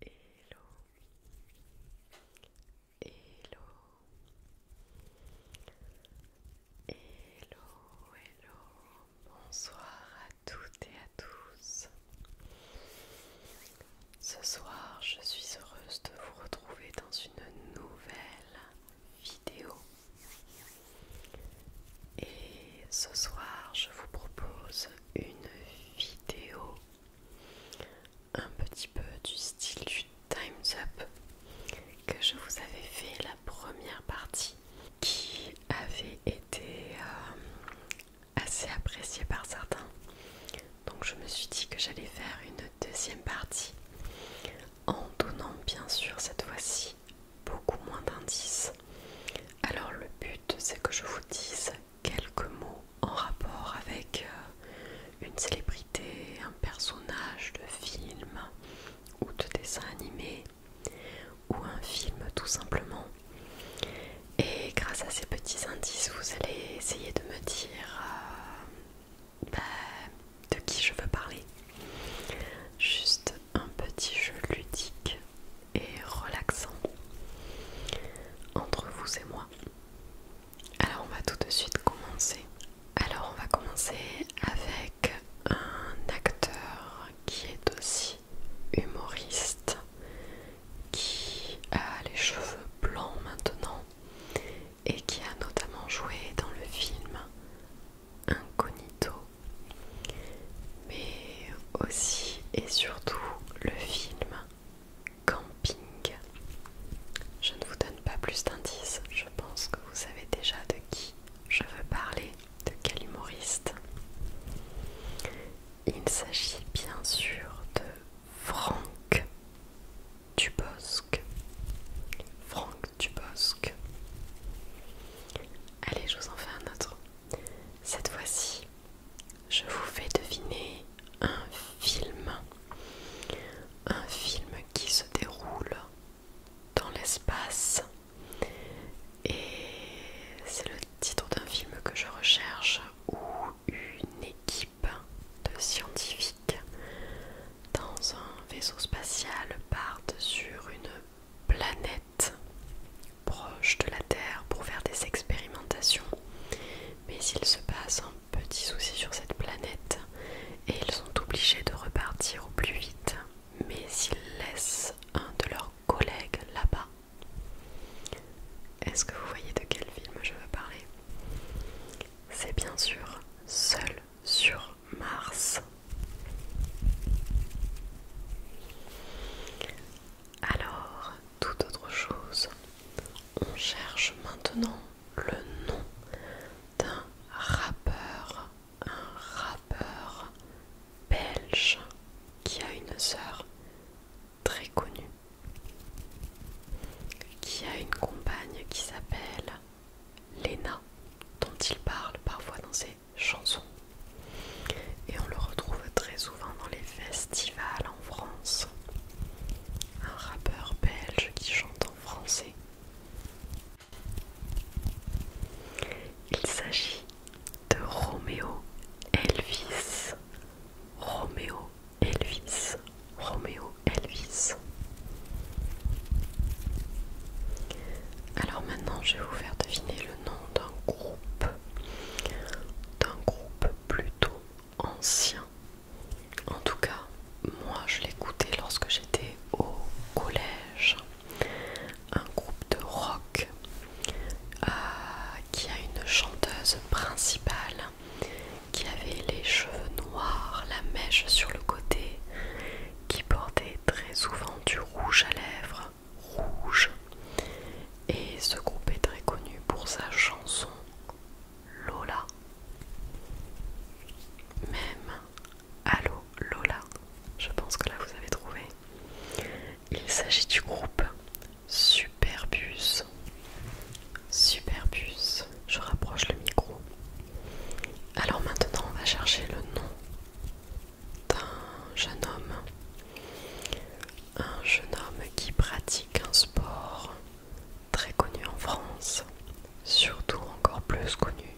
Hello, hello, hello, hello, bonsoir à toutes et à tous, ce soir, je suis heureuse de vous retrouver dans une nouvelle vidéo. Et ce soir, je vous propose une vidéo un petit peu du style du Time's Up que je vous avais fait la première partie qui avait été euh, assez appréciée par certains. Donc je me suis dit que j'allais faire une deuxième partie en donnant bien sûr cette fois-ci beaucoup moins d'indices. Alors le but c'est que je vous dise quelques mots en rapport avec euh, une célébrité, un personnage de film ou de dessin animé ou un film tout simplement. Et grâce à ces petits indices, vous allez essayer de me dire euh, bah, de qui je veux parler. Juste un petit jeu ludique et relaxant entre vous et moi. Alors on va tout de suite commencer. Alors on va commencer avec un acteur qui est aussi humoriste, qui a les cheveux blancs maintenant et qui a notamment joué dans le film Incognito, mais aussi et surtout le film Camping. Je ne vous donne pas plus d'indices, je pense que vous savez déjà de qui je veux parler, de quel humoriste. Il s'agit bien sûr de Franck Dubosc, Franck Dubosc. Allez, je vous en fais un autre. Cette fois-ci, je vous fais deviner un film. Un film qui se déroule dans l'espace. Et c'est le titre d'un film que je recherche Ou une équipe de scientifiques dans un vaisseau spatial partent sur une planète proche de la Terre pour faire des expérimentations. Mais il se passe un petit souci sur cette planète et ils sont obligés de repartir au plus vite. Mais ils laissent un de leurs collègues là-bas. Est-ce que vous voyez de quel film je veux parler c'est bien sûr seul sur Mars. Alors, toute autre chose, on cherche maintenant le nom d'un rappeur, un rappeur belge qui a une sœur très connue qui a une compagne qui s'appelle Lena, dont il parle parfois dans ses chansons. Et on le retrouve très souvent dans les festivals en France. Un rappeur belge qui chante en français. Il s'agit de Romeo Elvis. Roméo Elvis, Roméo Elvis. Alors maintenant, je vais vous faire deviner le nom d'un groupe, d'un groupe plutôt ancien. En tout cas, moi je l'écoutais lorsque j'étais au collège. Un groupe de rock euh, qui a une chanteuse principale qui avait les cheveux noirs, la mèche sur le côté, qui portait très souvent du rouge à lèvres, rouge. Et ce groupe est très connu pour sa chanson Lola. Même Allo Lola, je pense que là vous avez trouvé. Il s'agit du groupe Superbus Super puce. Je rapproche le micro. Alors maintenant, on va chercher le nom d'un jeune homme. Un jeune homme qui pratique un sport très connu en France, surtout encore plus connu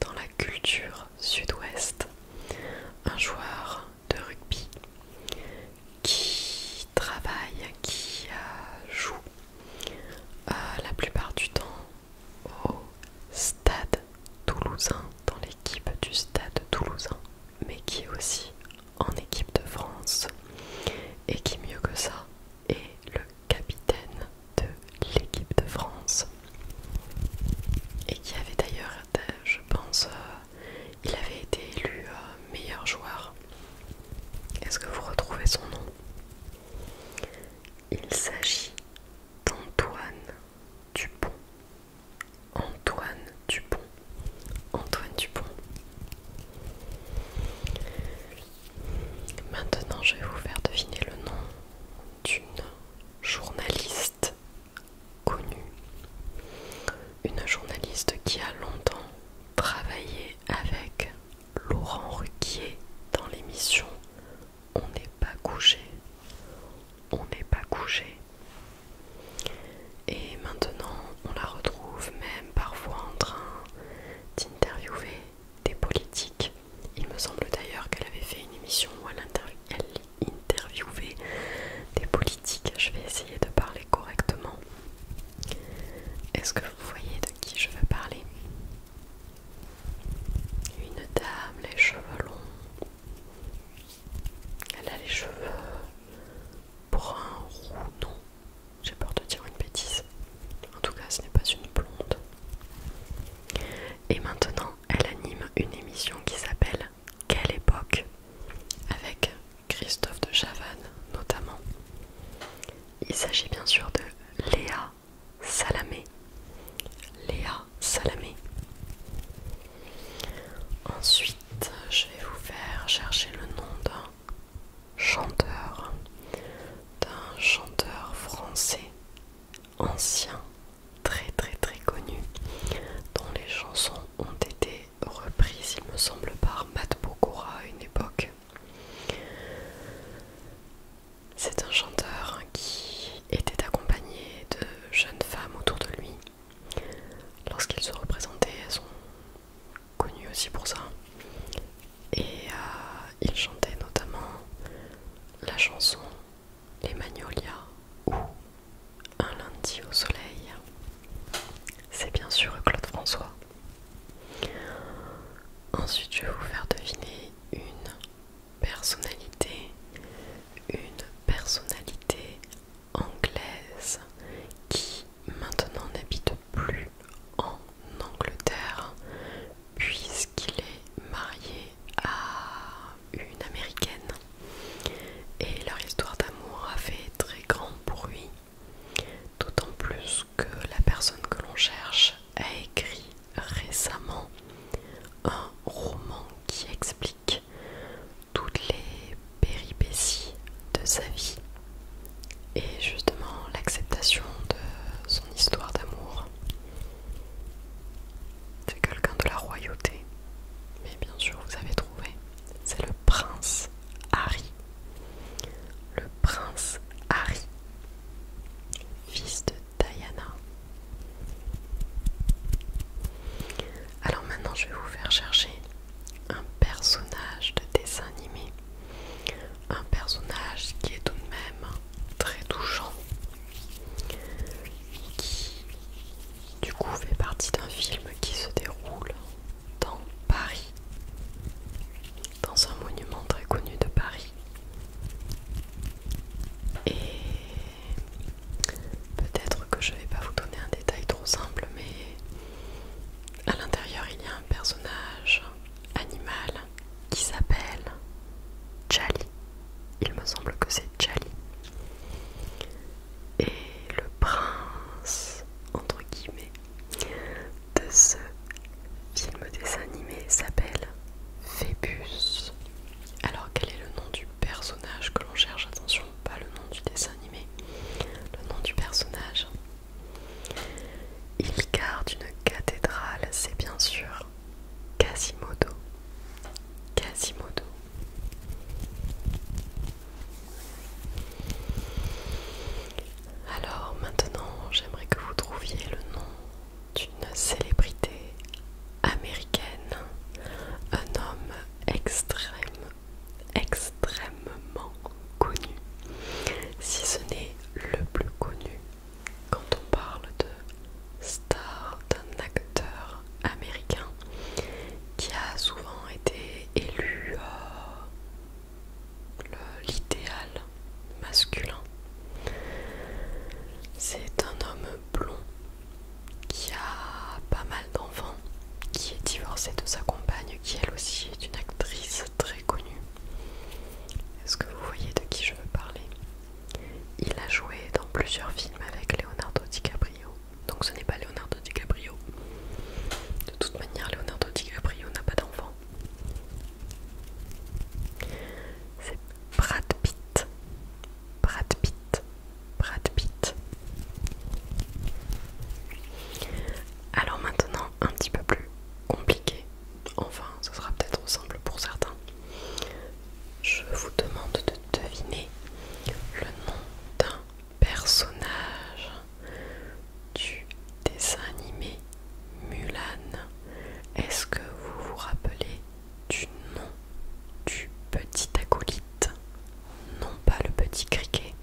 dans la culture sud-ouest. Un joueur de rugby qui qui qui euh, joue euh, la plupart du temps au stade toulousain, dans l'équipe du stade toulousain, mais qui est aussi en équipe de France et qui mieux que ça est le capitaine de l'équipe de France et qui avait d'ailleurs, euh, je pense, il avait été élu meilleur joueur est-ce que vous retrouvez son nom Il s'agit d'Antoine Dupont. Antoine Dupont. Antoine Dupont. Maintenant, je vais vous faire deviner le nom d'une journaliste connue. Une journaliste qui a longtemps travaillé avec Laurent Ruquier dans l'émission On n'est pas couché. On n'est pas couché. Et maintenant, on la retrouve même parfois en train d'interviewer des politiques. Il me semble d'ailleurs qu'elle avait fait une émission où elle, interviewait des politiques. Je vais essayer de parler correctement. Est-ce que vous voyez de qui je veux parler Une dame, les cheveux longs. Elle a les cheveux bruns, roux, non. J'ai peur de dire une bêtise. En tout cas, ce n'est pas une blonde. Et maintenant, elle anime une émission qui s'appelle Quelle époque avec Christophe de Chavannes notamment. Il s'agit bien sûr de Léa Salamé. Léa Salamé. Ensuite, je vais vous faire chercher le nom d'un chanteur, d'un chanteur français ancien, très très très connu, dont les chansons ont été reprises, il me semble, par Matt Pokora à une époque. C'est un chanteur qui était accompagné de jeunes femmes autour de lui. Lorsqu'il se représentait, elles sont connues aussi pour ça. Et euh, il chantait notamment la chanson Les Magnolias ou Un lundi au soleil. C'est bien sûr Claude François. Ensuite, je vais vous faire deviner une personnalité, une personnalité anglaise qui maintenant n'habite plus en Angleterre puisqu'il est marié à une américaine et leur histoire d'amour a fait très grand bruit D'autant plus que la personne que l'on cherche a écrit récemment un roman qui explique toutes les péripéties de sa vie et justement l'acceptation de son histoire d'amour. C'est quelqu'un de la royauté, mais bien sûr vous avez trouvé, c'est le prince Harry le prince Harry, fils de Diana. Alors maintenant je vais vous faire chercher un personnage de dessin animé. Un personnage qui est tout de même très touchant. Qui du coup fait partie d'un film qui se déroule dans Paris dans un monument très connu de Paris. Et peut-être que je vais pas vous donner un détail trop simple, mais à l'intérieur il y a un personnage animal qui s'appelle Charlie. Il me semble que c'est Charlie. Et le prince, entre guillemets, de ce film dessin animé s'appelle Phébus. Alors quel est le nom du personnage que l'on cherche Attention, pas le nom du dessin animé, le nom du personnage. Il garde une cathédrale, c'est bien sûr Quasimodo. Quasimodo. Alors maintenant, j'aimerais que vous trouviez le nom d'une célébrité américaine, un homme extrême, extrêmement connu, si ce n'est le plus connu quand on parle de star d'un acteur américain qui a souvent été élu euh, l'idéal masculin. C'est un homme blond qui a pas mal d'enfants, qui est divorcé de sa compagne, qui elle aussi est une actrice très connue. Est-ce que vous voyez de qui je veux parler Il a joué dans plusieurs films avec Leonardo DiCaprio. Donc ce n'est pas Leonardo DiCaprio. De toute manière, Leonardo DiCaprio n'a pas d'enfants. C'est Brad Pitt. Brad Pitt. Brad Pitt. Alors maintenant, un petit peu plus compliqué. Enfin, ce sera peut-être simple pour certains. Je vous demande de deviner le nom d'un personnage du dessin animé Mulan. Est-ce que vous vous rappelez du nom du petit acolyte Non pas le petit criquet,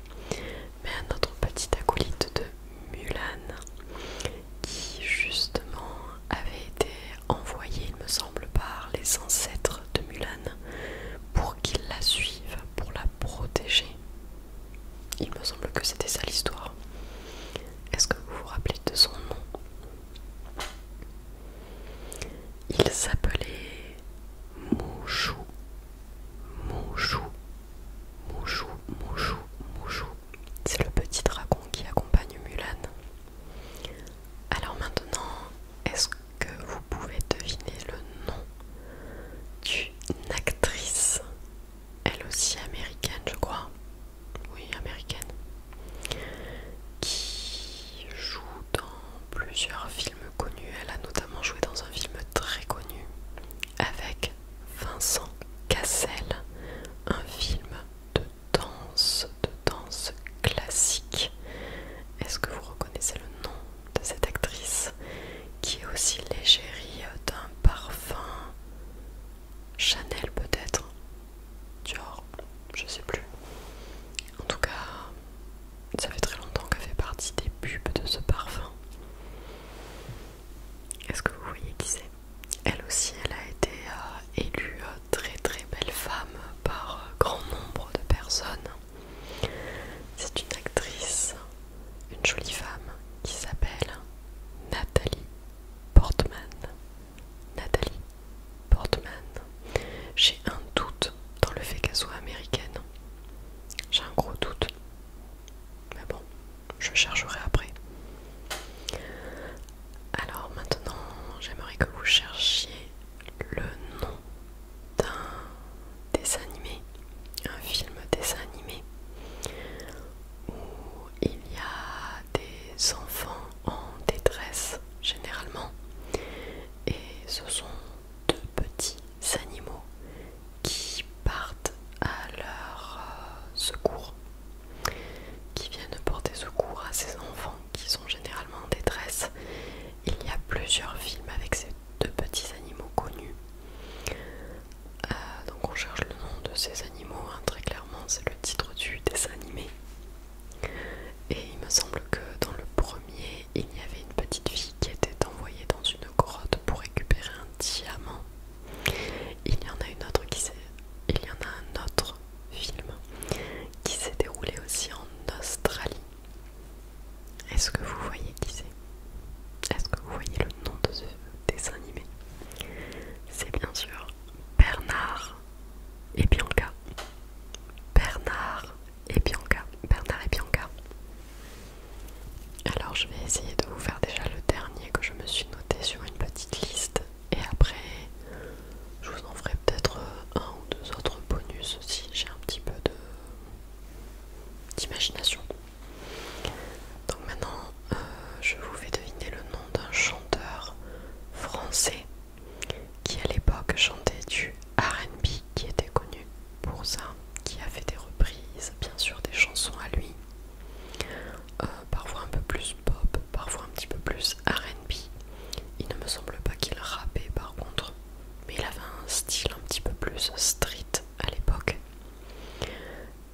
mais un autre petit acolyte de Mulan qui justement avait été envoyé, il me semble, par les ancêtres de Mulan pour qu'ils la suivent, pour la protéger. Il me semble que c'était ça l'histoire. Est-ce que vous vous rappelez de son nom Il s'appelait Mouchou. Mouchou. Mouchou, Mouchou, Mouchou. C'est le petit dragon qui accompagne Mulan. Alors maintenant, est-ce que vous pouvez deviner le nom d'une actrice elle aussi américaine, je crois. Oui, américaine. Qui joue dans plusieurs films connus. Elle a notamment joué dans un film très connu avec Vincent Cassel, un film de danse, de danse classique. Est-ce que vous reconnaissez le nom de cette actrice qui est aussi l'égérie d'un parfum Chanel peut-être Dior, je sais plus. En tout cas, ça fait très longtemps qu'elle fait partie des pubs de ce parfum. Est-ce que vous voyez qui c'est Elle aussi, elle a été euh, élue euh, très très belle femme par euh, grand nombre de personnes. C'est une actrice une jolie femme qui s'appelle Nathalie Portman. Nathalie Portman. J'ai un doute dans le fait qu'elle soit américaine. J'ai un gros doute. Mais bon, je chercherai après. Alors maintenant, j'aimerais que vous cherchiez le nom d'un dessin animé, un film dessin animé où il y a des enfants en détresse généralement et ce sont deux petits animaux qui partent à leur euh, secours, qui viennent porter secours à ces enfants qui sont généralement en détresse. Il y a plusieurs films avec ces de petits animaux connus. Euh, donc on cherche le nom de ces animaux, hein, très clairement c'est le titre du dessin animé. Et il me semble que dans le premier, il y avait une petite fille qui était envoyée dans une grotte pour récupérer un diamant. Il y en a une autre qui s'est... Il y en a un autre film qui s'est déroulé aussi en Australie. Est-ce que vous voyez qui c'est est-ce que vous voyez le nom de ce dessin animé C'est bien sûr Bernard et Bianca. Bernard et Bianca. Bernard et Bianca. Alors je vais essayer de vous faire déjà le dernier que je me suis noté sur une petite liste. Et après, je vous en ferai peut-être un ou deux autres bonus si j'ai un petit peu d'imagination. Donc maintenant, euh, je vous fais deviner le nom d'un chanteur français qui à l'époque chantait du RB qui était connu pour ça, qui a fait des reprises, bien sûr des chansons à lui, euh, parfois un peu plus pop, parfois un petit peu plus RB. Il ne me semble pas qu'il rapait, par contre, mais il avait un style un petit peu plus street à l'époque.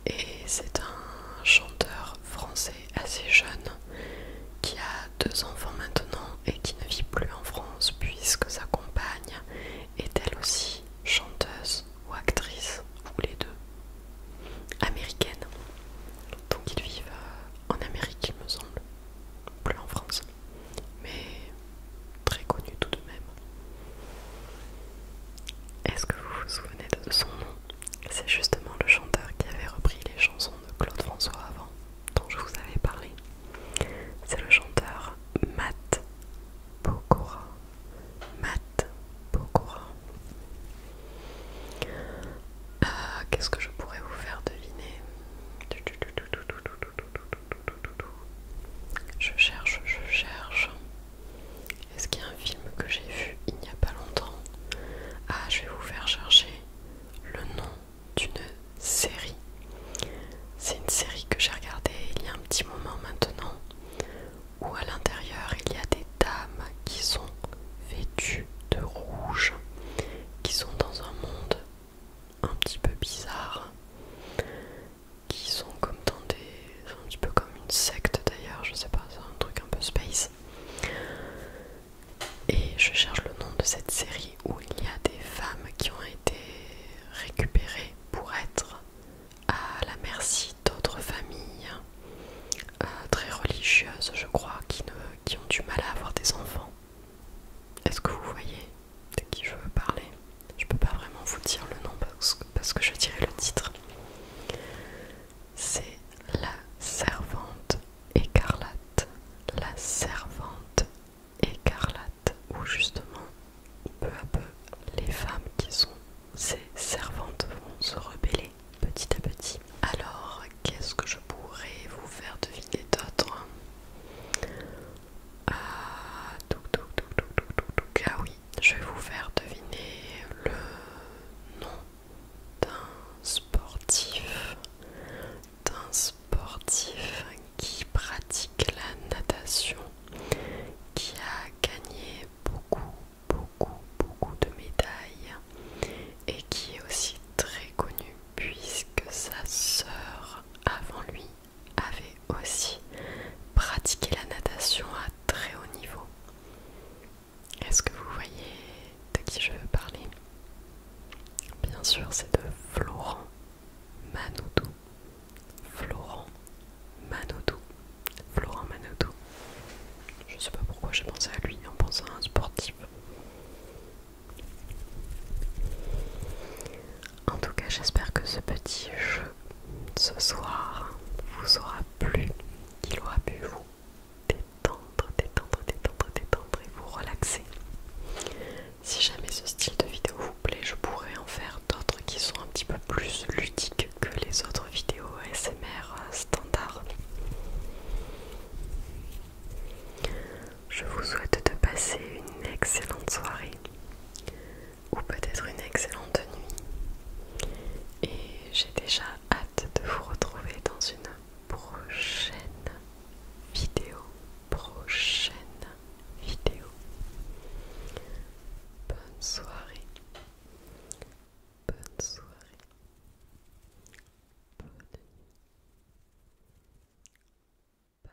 Et c'est un chanteur français assez jeune qui a deux enfants maintenant et qui ne vit plus en France puisque sa compagne est elle aussi chanteuse ou actrice ou les deux américaine. Donc ils vivent euh, en Amérique il me semble, plus en France. Mais très connu tout de même. Est-ce que vous vous souvenez de son nom C'est justement le chanteur qui avait repris les chansons de Claude François avant, dont je vous avais parlé. C'est le chanteur Matt Pokora. Matt Pokora. Euh, qu'est-ce que je pourrais vous faire deviner je cherche, je cherche. Est-ce qu'il y a un film que j'ai vu il n'y a pas longtemps Ah, je vais vous faire chercher le nom d'une série. C'est une série que j'ai regardée il y a un petit moment maintenant, où à l'intérieur il y a des dames qui sont vêtues de rouge, qui sont dans un monde un petit peu bizarre qui sont comme dans des. un petit peu comme une secte d'ailleurs, je sais pas, c'est un truc un peu space. Et je cherche le nom de cette série où il y a des femmes qui ont été récupérées pour être à la merci d'autres familles euh, très religieuses, je crois, qui, ne, qui ont du mal à avoir des enfants. Est-ce que vous voyez de qui je veux parler je peux pas vraiment vous dire le nom parce que, parce que je dirais le titre. C'est La Servante écarlate. La Servante écarlate. Où justement, peu à peu, les femmes qui sont ces servantes vont se rebeller petit à petit. Alors, qu'est-ce que je pourrais vous faire deviner d'autre ah, ah oui, je vais vous faire deviner le nom d'un sportif, d'un sportif qui pratique la natation, qui a gagné beaucoup, beaucoup, beaucoup de médailles et qui est aussi très connu puisque sa sœur avant lui avait aussi pratiqué la natation à très haut niveau. Est-ce que vous voyez de qui je veux parler Bien sûr, c'est de Florent Manodou. Florent Manodou. Florent Manodou. Je sais pas pourquoi j'ai pensé à lui en pensant à un sportif. En tout cas, j'espère que ce petit jeu ce soir vous aura plu, qu'il aura pu vous détendre, détendre, détendre, détendre et vous relaxer. Si jamais ce style de vidéo vous plaît, je pourrais en faire d'autres qui sont un petit peu plus ludiques que les autres vidéos SMR euh, standard. Je vous souhaite de passer une excellente soirée ou peut-être une excellente nuit. Et j'ai déjà hâte de vous retrouver dans une prochaine vidéo. Prochaine vidéo. Bonne soirée. Bonne soirée. Bonne nuit. Bye.